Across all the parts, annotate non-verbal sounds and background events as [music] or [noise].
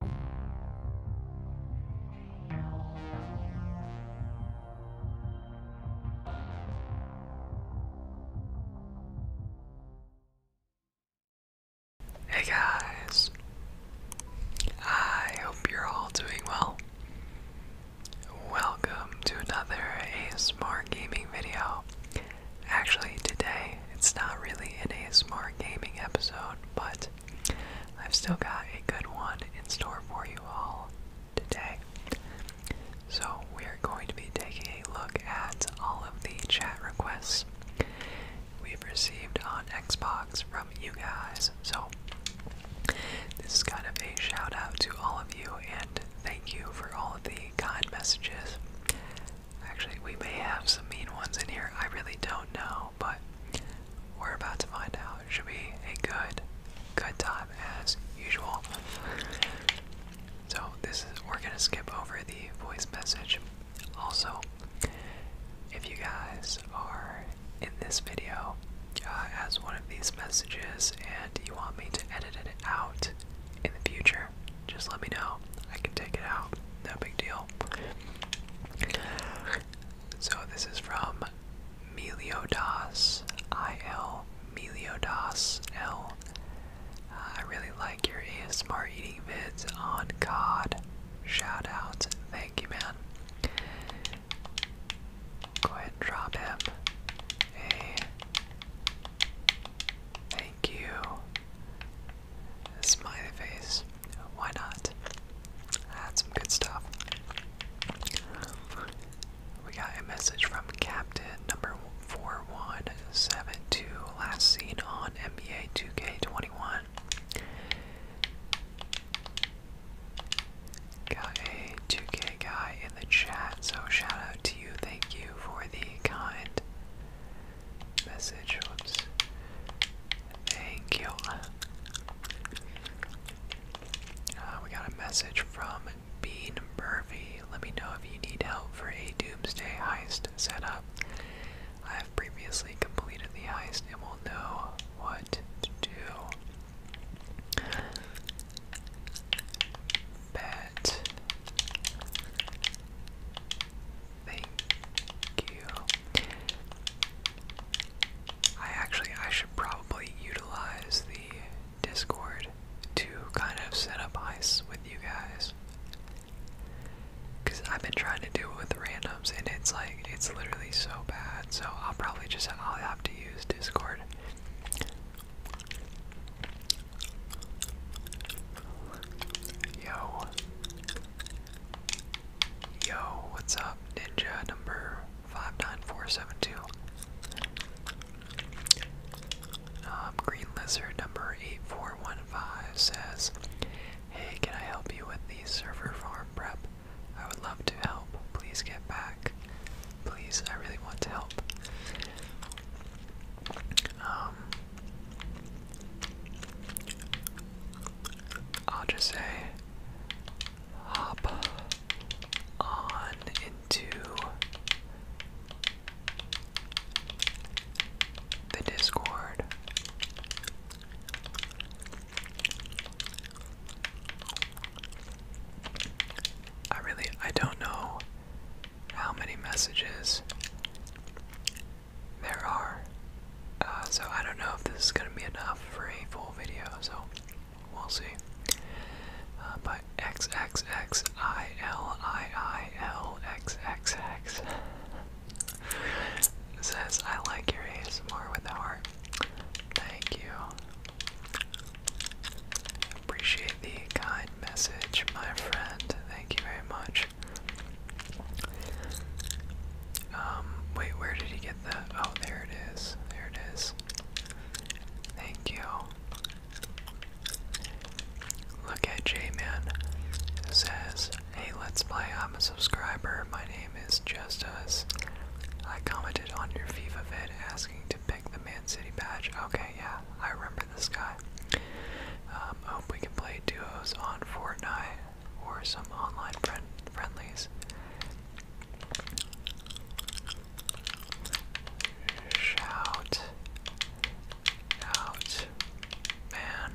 Hey guys, I hope you're all doing well. Welcome to another ASMR gaming video. Actually, today it's not really an ASMR gaming episode, but I've still got a good one in store for you all today. So, we're going to be taking a look at all of the chat requests we've received on Xbox from you guys. So, this is kind of a shout out to all of you and thank you for all of the kind messages. Actually, we may have some mean ones in here, I really don't know, but we're about to find out. should be a good, good time as usual. So this is we're gonna skip over the voice message. Also, if you guys are in this video uh, as one of these messages and you want me to edit it out in the future, just let me know. I can take it out. No big deal. So this is from Meliodas, I-L, Meliodas, L. I really like your ASMR eating vids on COD. Shout out. Thank you, man. Go ahead drop him thank you. Smiley face. Why not? Add some good stuff. We got a message from Captain number 4172, last seen on NBA 2K21. Got a 2 guy in the chat, so shout out to you. Thank you for the kind message. Thank you. Uh, we got a message from Bean Murphy. Let me know if you need help for a doomsday heist setup. I have previously completed the heist and will know what to do. Bet Thank you. I actually I should probably utilize the Discord to kind of set up ice with you guys. Cause I've been trying to do it with randoms and it's like it's literally so bad. So I'll probably just I'll have to use Discord. Yo. Yo, what's up, Ninja number 59472? Um, Green Lizard number 8415 says, Hey, can I help you with the server farm prep? I would love to help. Please get back. Please, I really want to help. Um, I'll just say hop on into the Discord. I really I don't know how many messages there are. Uh, so I don't know if this is going to be enough for a full video, so we'll see. Uh, but XXXILIILXXX [laughs] says, I like your ASMR with the heart. Thank you. Appreciate the kind message, my friend. Thank you very much. Um, wait, where did he get that? Oh, there it is. There it is. Thank you. Look at J-Man, who says, Hey, let's play. I'm a subscriber. My name is Justus. I commented on your FIFA vid asking to pick the Man City badge. Okay, yeah, I remember this guy. Um, hope we can play duos on Fortnite or some online friend friendlies. Shout out, man.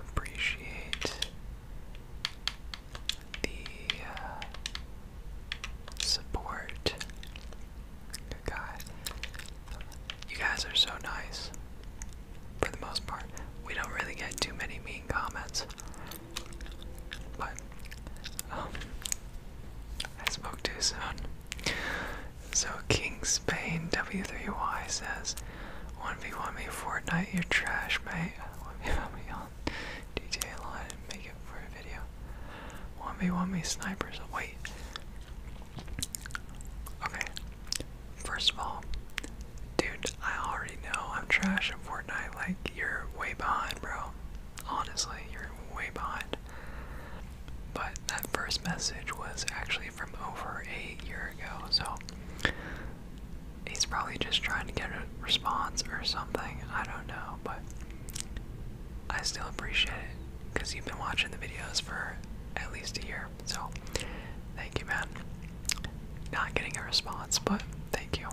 Appreciate the uh, support good You guys are so nice, for the most part. We don't really get too many mean comments. But, um, I spoke too soon. So, King Spain W3Y says, 1v1 me Fortnite, you're trash, mate. 1v1 me on GTA line and make it for a video. 1v1 me snipers. Wait, Okay. First of all, dude, I already know I'm trash in Fortnite. Like, you're way behind, bro. Honestly, you're way behind. But that first message was actually from over a year ago, so he's probably just trying to get a response or something. I don't know, but I still appreciate it because you've been watching the videos for at least a year. So, thank you, man. Not getting a response, but thank you.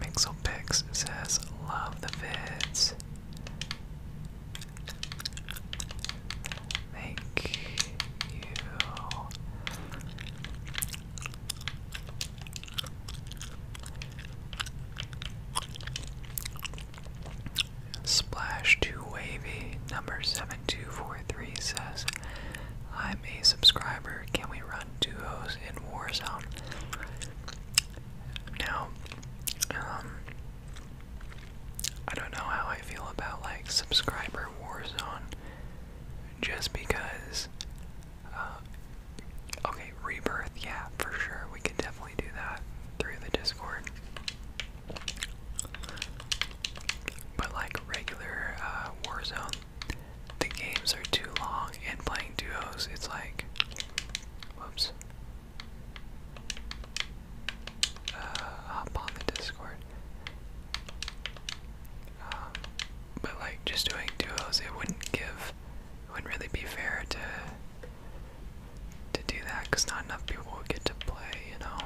Mixelpix says, Love the vids. Thank you. Splash Too Wavy number 7243 says, I'm a subscriber. Can we run duos in Warzone? Now, um, I don't know how I feel about like subscriber Warzone just because, uh, okay, rebirth, yeah, for sure. We can definitely do that through the Discord. But like regular uh, Warzone, the games are too long, and playing duos, it's like, whoops. Uh, hop on the Discord. Um, but like just doing duos, it wouldn't give, it wouldn't really be fair to to do that because not enough people will get to play, you know.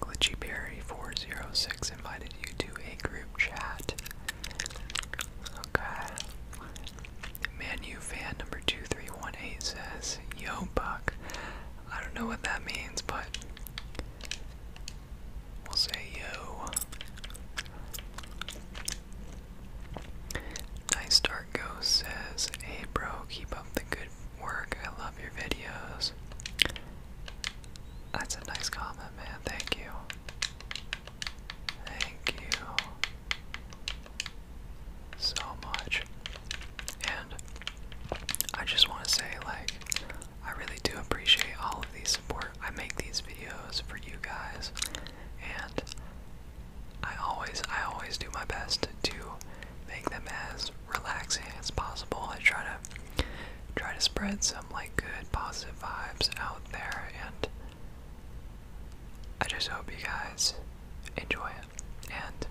Glitchy Berry 406 invited you to a group chat. Okay. you fan number 2318 says, Yo, Buck. I don't know what that means, but we'll say yo. Nice Dark Ghost says, Hey bro, keep up the good work. I love your videos. That's a nice comment, man. Thank you. Thank you so much. And I just want to say, like, I really do appreciate all of the support. I make these videos for you guys, and I always, I always do my best to make them as relaxing as possible. I try to, try to spread some like good positive vibes out there, and I just hope you guys enjoy it. And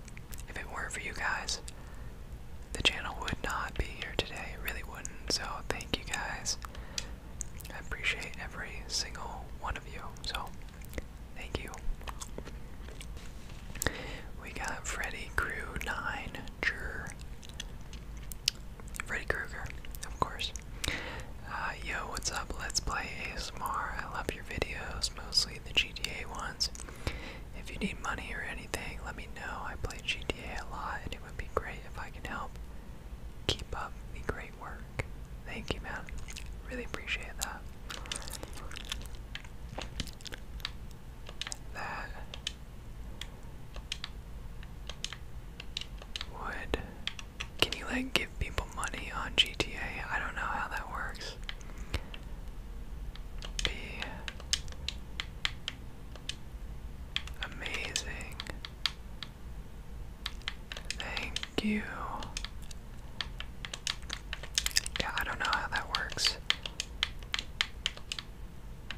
if it weren't for you guys, the channel would not be here today. It really wouldn't. So thank you guys I appreciate every single one of you, so thank you. We got Freddy Crew Freddy Krueger, of course. Uh, yo, what's up? Let's play ASMR. I love your videos, mostly the GTA ones. If you need money or anything, let me know. I play GTA a lot, it would be great if I can help keep up the great work. Thank you, man. Really appreciate that. That would. Can you, like, give people money on GTA? I don't know how that works. Be amazing Thank you. Yeah, I don't know how that works.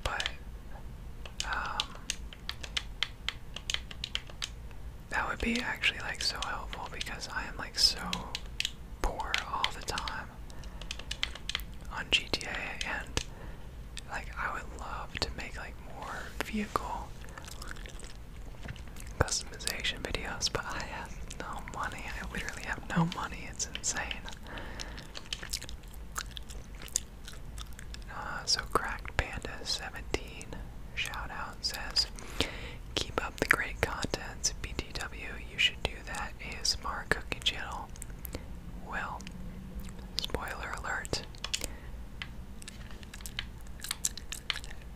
But, um, that would be actually like so helpful because I am like so poor all the time on GTA and like I would love to make like more vehicle customization videos, but I have no money. I literally have no money. It's insane. Uh, so cracked panda 17 shout out says keep up the great content btw you should do that asmr cooking channel well spoiler alert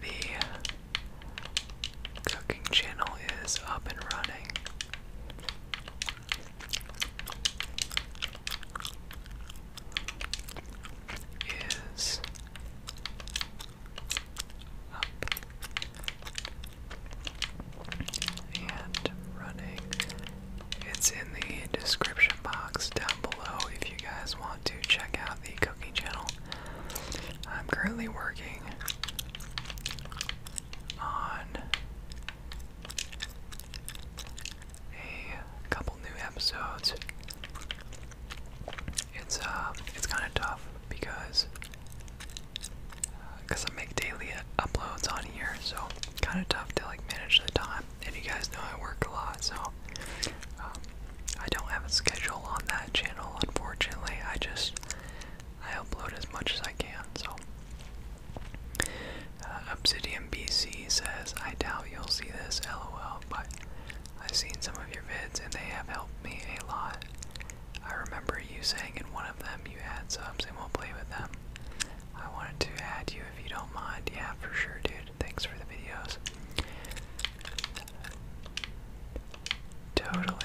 the cooking channel is up and running. Is up and running. It's in the description box down below if you guys want to check out the cooking channel, I'm currently working on a couple new episodes. It's uh, it's kind of tough because because uh, I make daily uploads on here, so kind of tough to like manage the time time. And you guys know I work a lot, so um, I don't have a schedule on that channel, unfortunately. I just I upload as much as I can. So uh, Obsidian BC says, "I doubt you'll see this, lol." But I've seen some of your vids, and they have helped me a lot. I remember you saying in one of them you had subs and we'll play with them. I wanted to add you if you don't mind. Yeah, for sure, dude. Thanks for the videos. Totally.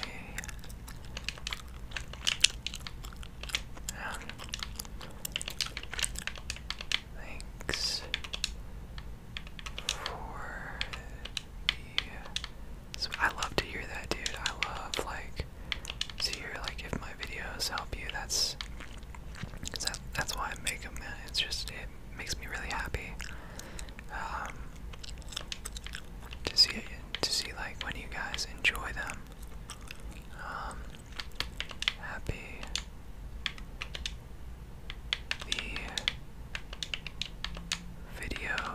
thanks for I love to hear that, dude. I love like to hear like if my videos help you. That's. that's why I make them, man. It's just it makes me really happy. Um, to see to see like when you guys enjoy them. Um, happy the videos.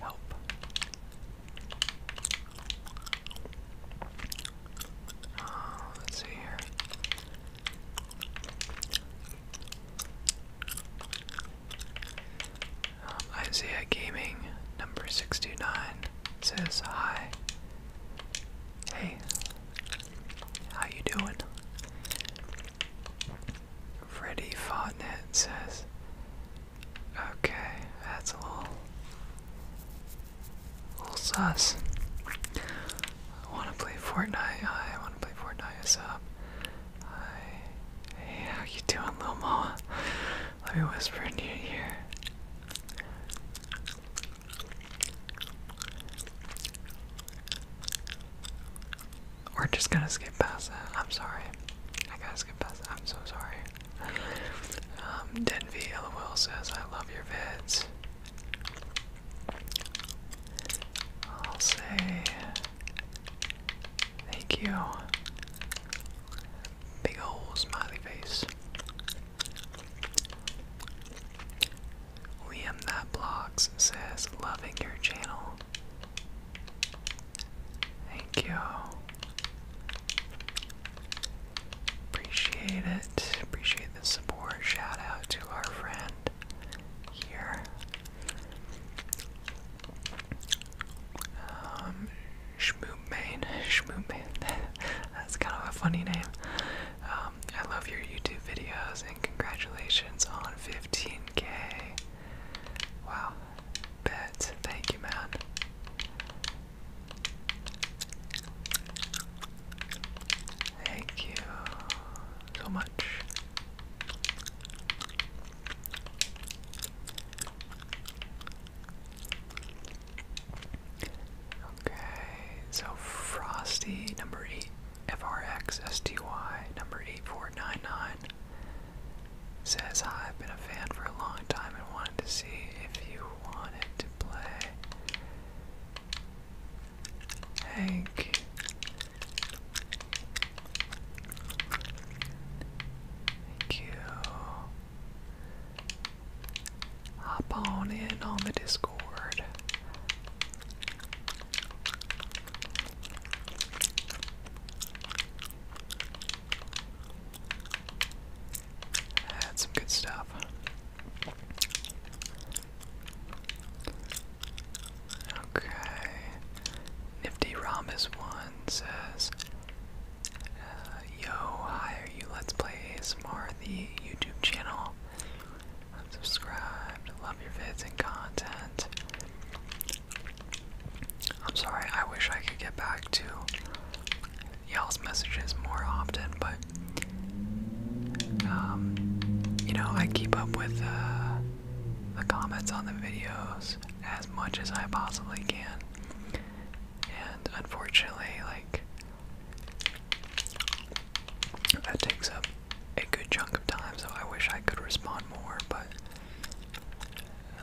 Help uh, let's see here. Um, Isaiah Gaming, number sixty nine says hi. Hey, how you doing? Freddy Fotnet says, okay, that's all." Little sauce. I wanna play Fortnite. I wanna play Fortnite. What's hey, how you doing, little Moa? Let me whisper in your ear. We're just gonna skip past that. I'm sorry. I gotta skip past that. I'm so sorry. Um, Denvy LOL says, I love your vids. I'll say thank you. Big ol' smiley face. Liam That Blocks says, loving your channel. Thank you. Appreciate it. Appreciate the support. Shout out to our friend here. Um, Shmoopmane. [laughs] Shmoopmane. [laughs] That's kind of a funny name. Um, I love your YouTube videos and congratulations on 15k. Wow. Bet. Thank you, man. Thank you so much. Okay, so Frosty number eight, FRXSTY number 8499 says, I've been a fan for a long time and wanted to see if you wanted to play. Hank. Thank you. Hop on in on the Discord. That's some good stuff. Okay. Nifty Rhombus one says, uh, "Yo, hi, are you? Let's play ASMR, the YouTube channel. I'm subscribed. Love your vids and content. I'm sorry. I wish I could get back to y'all's messages more often, but um, you know, I keep up with uh, the comments on the videos as much as I possibly can. And unfortunately, like, that takes up a good chunk of time, so I wish I could respond more, but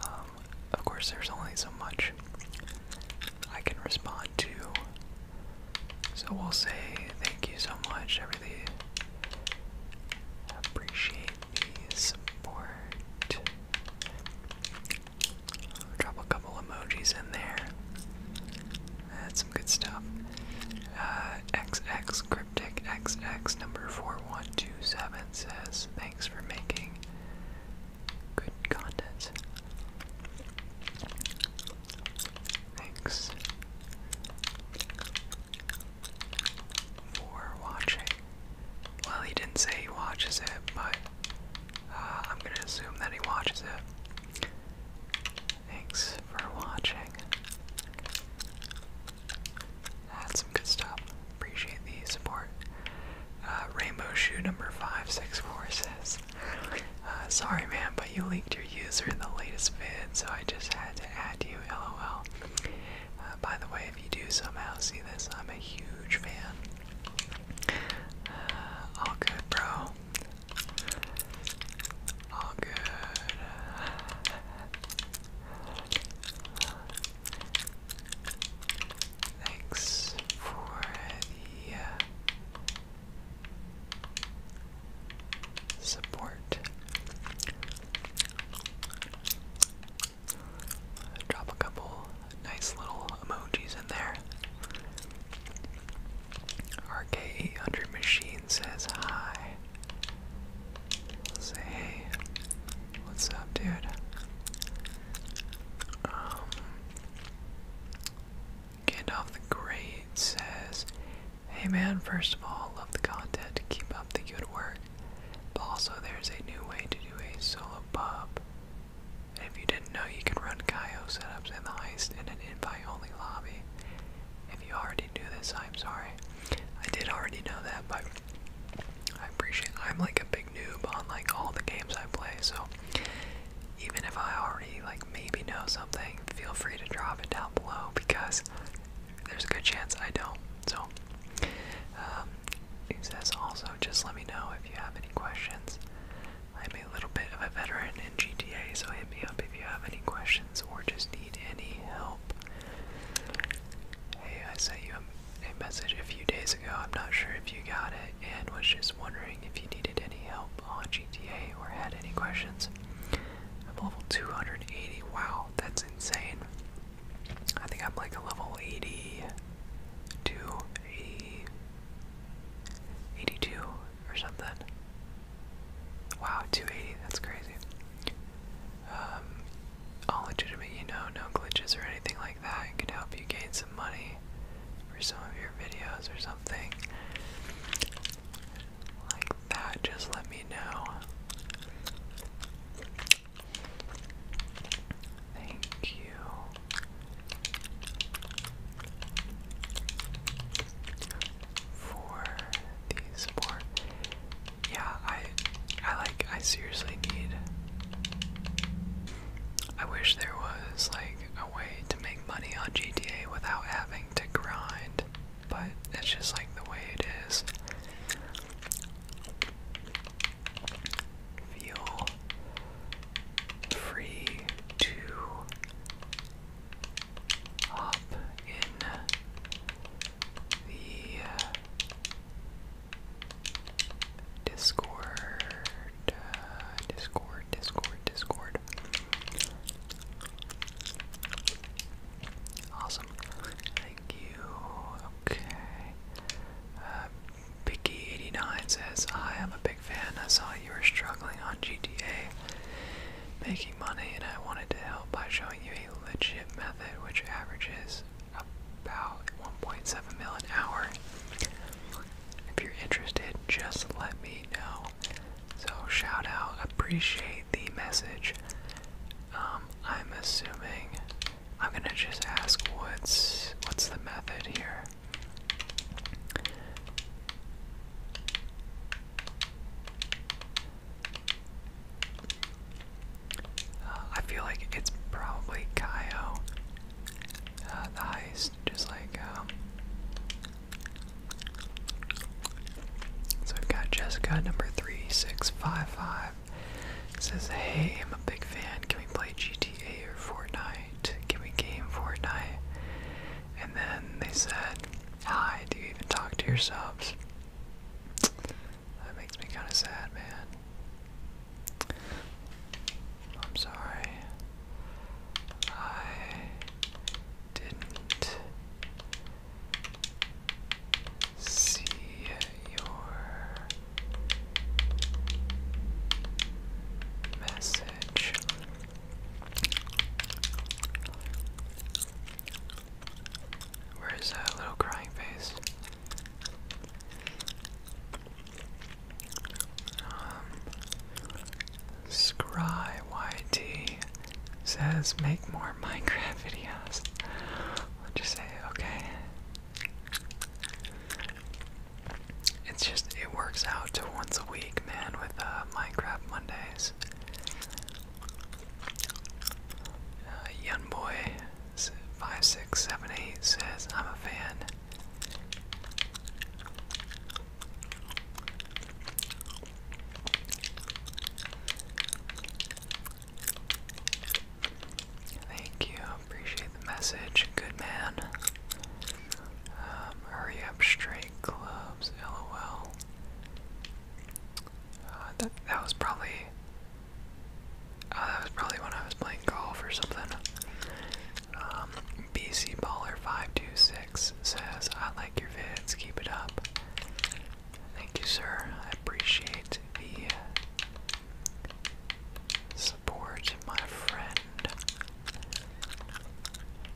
um, of course, there's only so much I can respond to. So we'll say thank you so much. I appreciate the support. Drop a couple emojis in there. That's some good stuff. Uh, X X Cryptic X X number 4127 says, Thanks for making good content. Thanks for watching. Well, he didn't say he watches it, but uh, I'm gonna assume that he watches it. Thanks for watching. That's some good stuff. Appreciate the support. Uh, rainbow Shoe number 564 says, uh, Sorry, man, but you leaked your user in the latest vid, so I just had to add you, lol. Uh, by the way, if you do somehow see this, I'm a huge fan. Uh, all good, bro. All good. Thanks for the uh, support. Drop a couple nice little emojis in there. RK800 Machine says hi. Say hey. What's up, dude? Um, Gandalf the Great says, Hey man, first of all, love the content, keep up the good work. But also, there's a new way to do a solo pub. And if you didn't know, you can run Kaio setups in the heist in an invite only lobby. If you already knew this, I'm sorry. I did already know that, but I appreciate I'm like a big noob on like all the games I play, so even if I already like maybe know something, feel free to drop it down below because there's a good chance I don't. So um, he says also just let me know if you have any questions. I'm a little bit of a veteran in GTA, so hit me up if you have any questions or just need any help. Hey, I sent you a, a message a few days ago. I'm not sure if you got it and was just wondering if you needed any help on GTA or had any questions. I'm level 280. Wow, that's insane. I think I'm like a level 80 or something. Wow, 280, that's crazy. Um, all legitimate, you know, no glitches or anything like that. could help you gain some money for some of your videos or something like that. Just let me know. Thank you. For the support, yeah, I, I like, I seriously need. I wish there was like a way to make money on GTA without having to grind, but it's just like the way it is. Feel free to hop in the uh, Discord uh, Discord, Discord, Discord. Awesome. Thank you. Okay. Uh, Picky89 says, I'm a big fan. I saw you were struggling on GTA making money, and I wanted to help by showing you a legit method which averages about 1.7 mil an hour. If you're interested, just let me know. So, shout out, appreciate the message. Um, I'm assuming I'm gonna just ask what's what's the method here. Uh, I feel like it's probably Kaio, uh, just like, um, so we've got Jessica, number 3655, says, Hey, I'm a big fan. Can we play GTA or Fortnite? Can we game Fortnite? And then they said, Hi, do you even talk to your subs? That makes me kind of sad, man. I'm sorry. I didn't see your message. Where is that little crying face? Um, says make more Minecraft [laughs] videos. Let's just say okay. It's just it works out to once a week, man, with uh, Minecraft Mondays. Uh, young boy, five six seven eight says I'm a fan. Thank you. Appreciate the message. Good man. Um, hurry up, straight clubs. LOL. Uh, that that was probably. Uh, that was probably when I was playing golf or something. Um, BC Baller 526 says, I like your vids, keep it up. Thank you, sir. I appreciate the uh, support, my friend.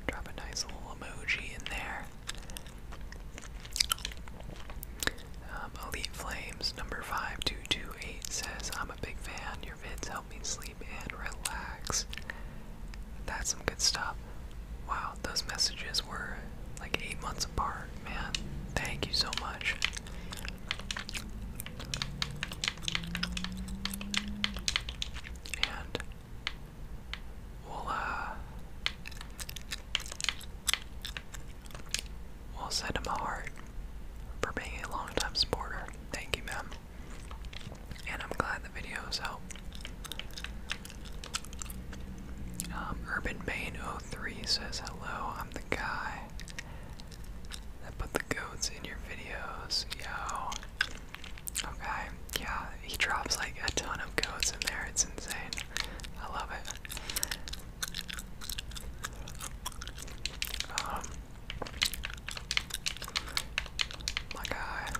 Drop a nice little emoji in there. Um, Elite Flames number five two two eight says, I'm a big fan. Your vids help me sleep and relax. That's some good stuff. Wow, those messages were like eight months apart, man. Thank you so much. And we'll uh we'll send him a heart for being a long time supporter. Thank you, ma'am and I'm glad the video is out. Um, Urban Main 03 says hello. I'm the guy that put the goats in your videos, yo. Okay, yeah, he drops like a ton of goats in there. It's insane. I love it. Um, my guy.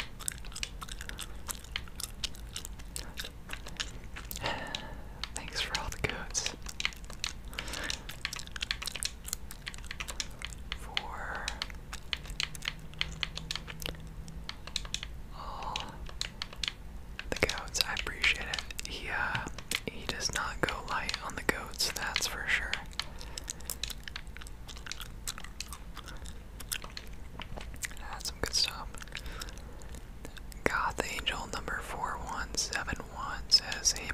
Thanks for all the goats. For all the goats, I appreciate it. He uh, he does not go light on the goats, that's for sure. That's some good stuff. Goth Angel number 4171 says, Hey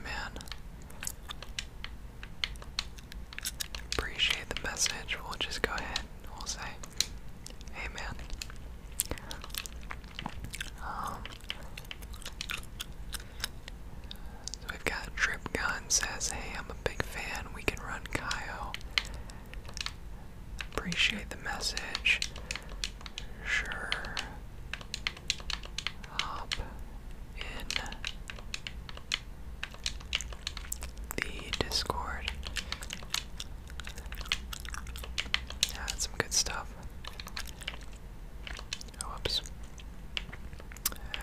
Appreciate the message. We'll just go ahead we'll say, Hey we've got Trip says, Hey, I'm a big fan. We can run Kaio. Appreciate the message. Sure. Hop in the Discord. Yeah, that's some good stuff. Oh,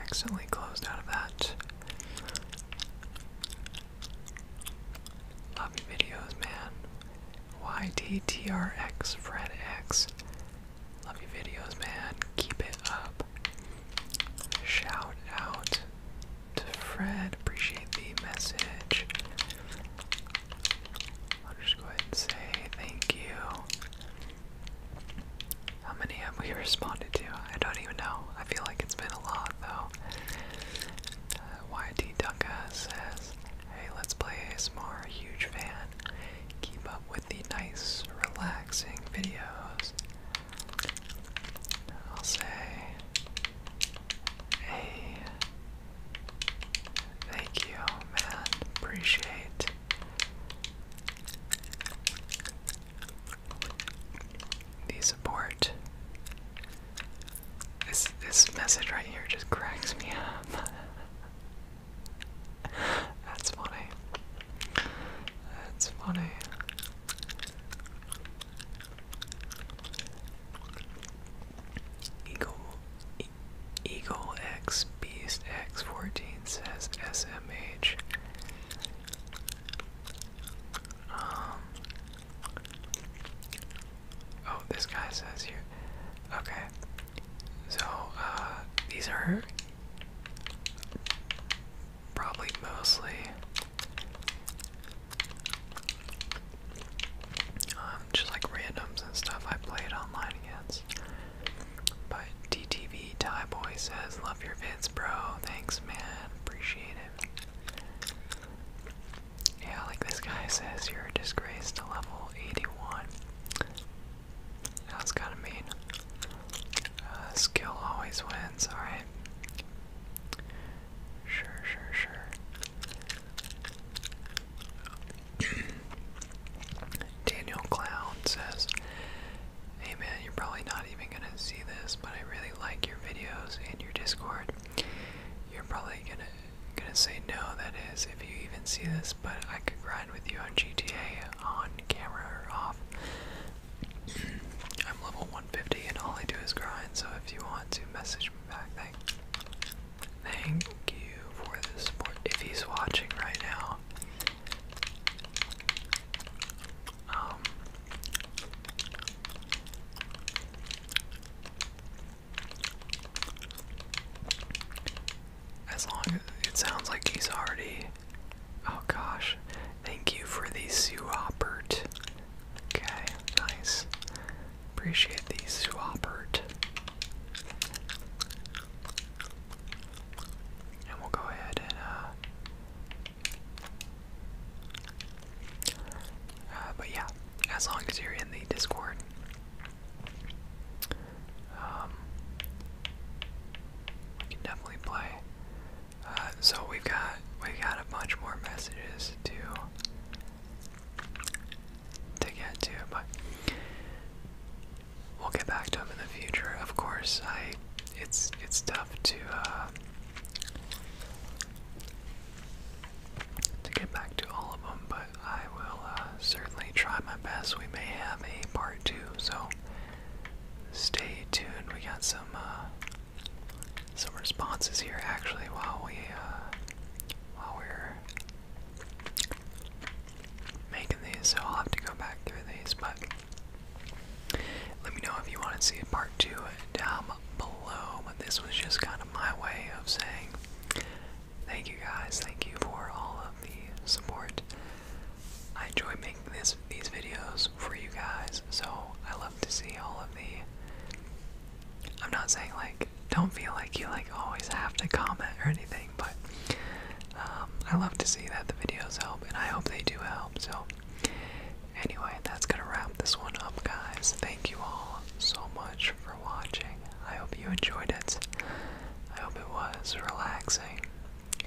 accidentally closed out of that. Love your videos, man. YTTRX Love your videos, man. Keep it up. Shout out to Fred. Appreciate the message. I'll just go ahead and say thank you. How many have we responded to? I don't even know. I feel like it's been a lot though. Uh, says, Hey, let's play ASMR. Huge fan. Keep up with the nice, relaxing videos. I'll say, Hey, thank you, man. Appreciate the support. This this message right here just cracks me up. [laughs] That's funny. That's funny. Eagle, Eagle X Beast X14 says SMH. Um, oh, this guy says here. Okay. So, uh, these are probably mostly um, just like randoms and stuff I played online against. But DTV Tie Boy says, Love your vids, bro. Thanks, man. Appreciate it. Yeah, like this guy says, you're a disgrace to level 81. That's kind of mean. Uh, skill always wins, alright. Sure, sure, sure. [clears throat] Daniel Clown says, Hey man, you're probably not even gonna see this, but I really like your videos and your Discord. You're probably gonna gonna say no, that is, if you even see this, but I could grind with you on GTA on camera or off. [clears throat] I'm level 150 and all I do is grind, so if you want to message me back, thank Thank you for the support. If he's watching right now, um, as long as it sounds like he's already. Oh gosh. Thank you for the Suopert. Okay, nice. Appreciate the Suopert. And we'll go ahead and, uh, uh, but yeah, as long as you're in the Discord, um, we can definitely play. Uh, so we've got, we've got a bunch more messages to, to get to, but we'll get back to them in the future. Of course, I it's it's tough to uh, to get back to all of them, but I will uh, certainly try my best. We may have a part two, so stay tuned. We got some uh, some responses here actually while we uh, while we're making these, so I'll have to go back through these, but. Let me know if you want to see a part two down below. But this was just kind of my way of saying thank you guys, thank you for all of the support. I enjoy making this these videos for you guys, so I love to see all of the I'm not saying like don't feel like you like always have to comment or anything, but um, I love to see that the videos help, and I hope they do help. So, anyway, that's gonna wrap this one up, guys. Thank you all so much for watching. I hope you enjoyed it. I hope it was relaxing.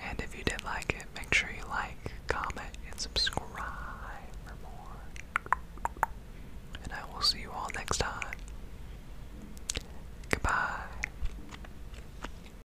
And if you did like it, make sure you like, comment, and subscribe for more. And I will see you all next time. Goodbye.